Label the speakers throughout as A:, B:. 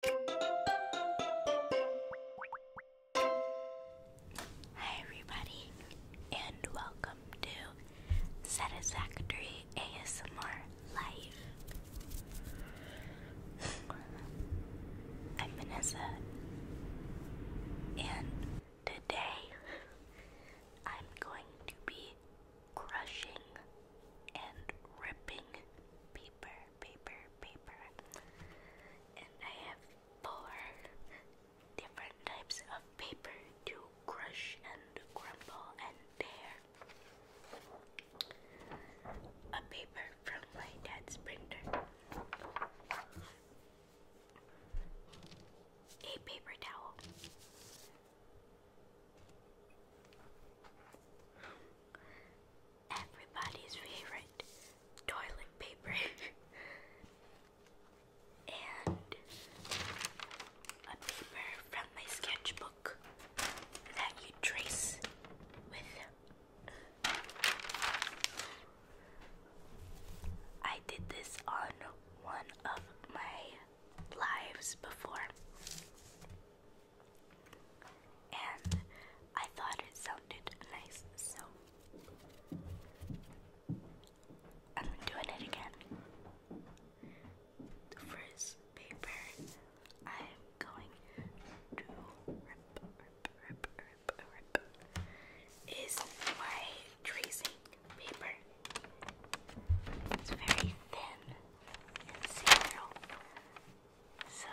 A: Hi, everybody, and welcome to Satisfactory ASMR Life. I'm Vanessa, and today I'm going to be crushing and ripping paper paper, paper. And I have four different types of paper to crush and crumble and tear. A paper from my dad's printer. A paper towel everybody's favorite toilet paper and a paper from my sketchbook that you trace I did this on one of my lives before and I thought it sounded nice, so I'm doing it again. The first paper I'm going to rip, rip, rip, rip, rip is my tracing paper. It's very thin cereal. So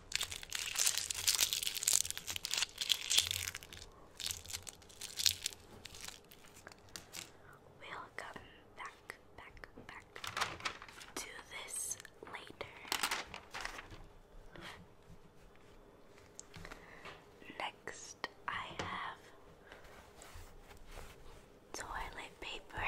A: We'll back, back, back to this later. Next, I have toilet paper.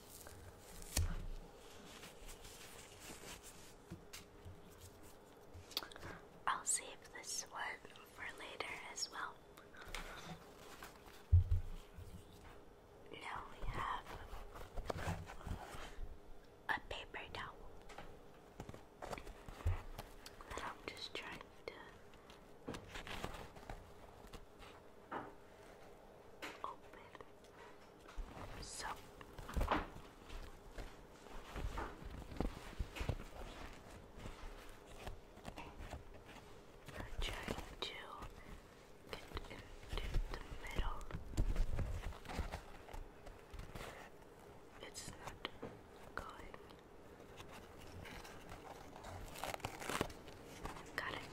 A: I'll save this one for later as well. Now we have a paper towel that I'm just trying to open. So trying to get into the middle. It's not going. Got it.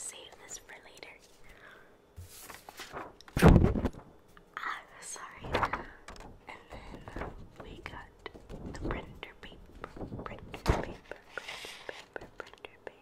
A: Save this for later. Ah, sorry. And then we got the printer paper, printer paper, printer paper, printer paper.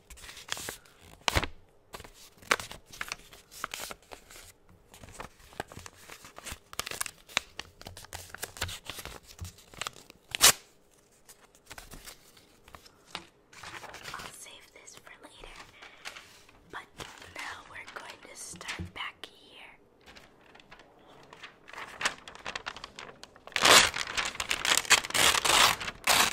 A: I'll save this for later. But now we're going to start back here.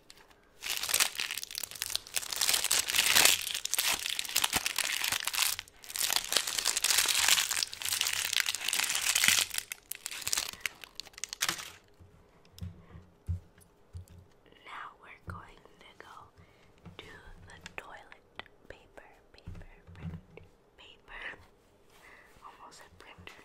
A: Now we're going to go to the toilet paper, paper, print, paper. Almost a printer.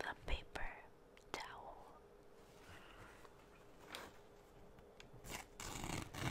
A: the paper towel. Ah.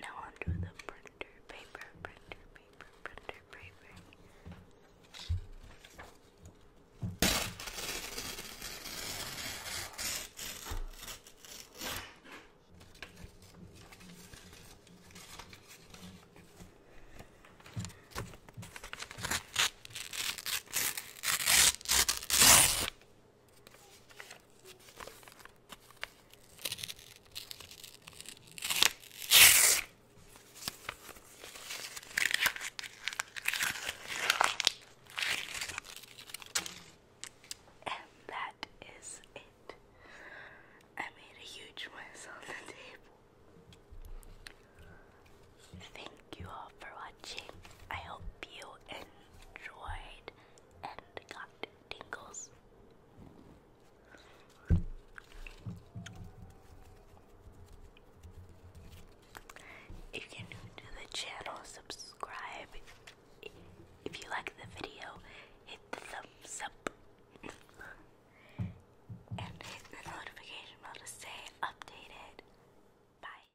A: Now onto the printer paper, printer paper, printer paper. And that is it. I made a huge mess on the table. Thank you all for watching. I hope you enjoyed enjoyed and got tingles. If you're new to the channel, subscribe. If you like the video, hit the thumbs up and hit the notification bell to stay updated. Bye.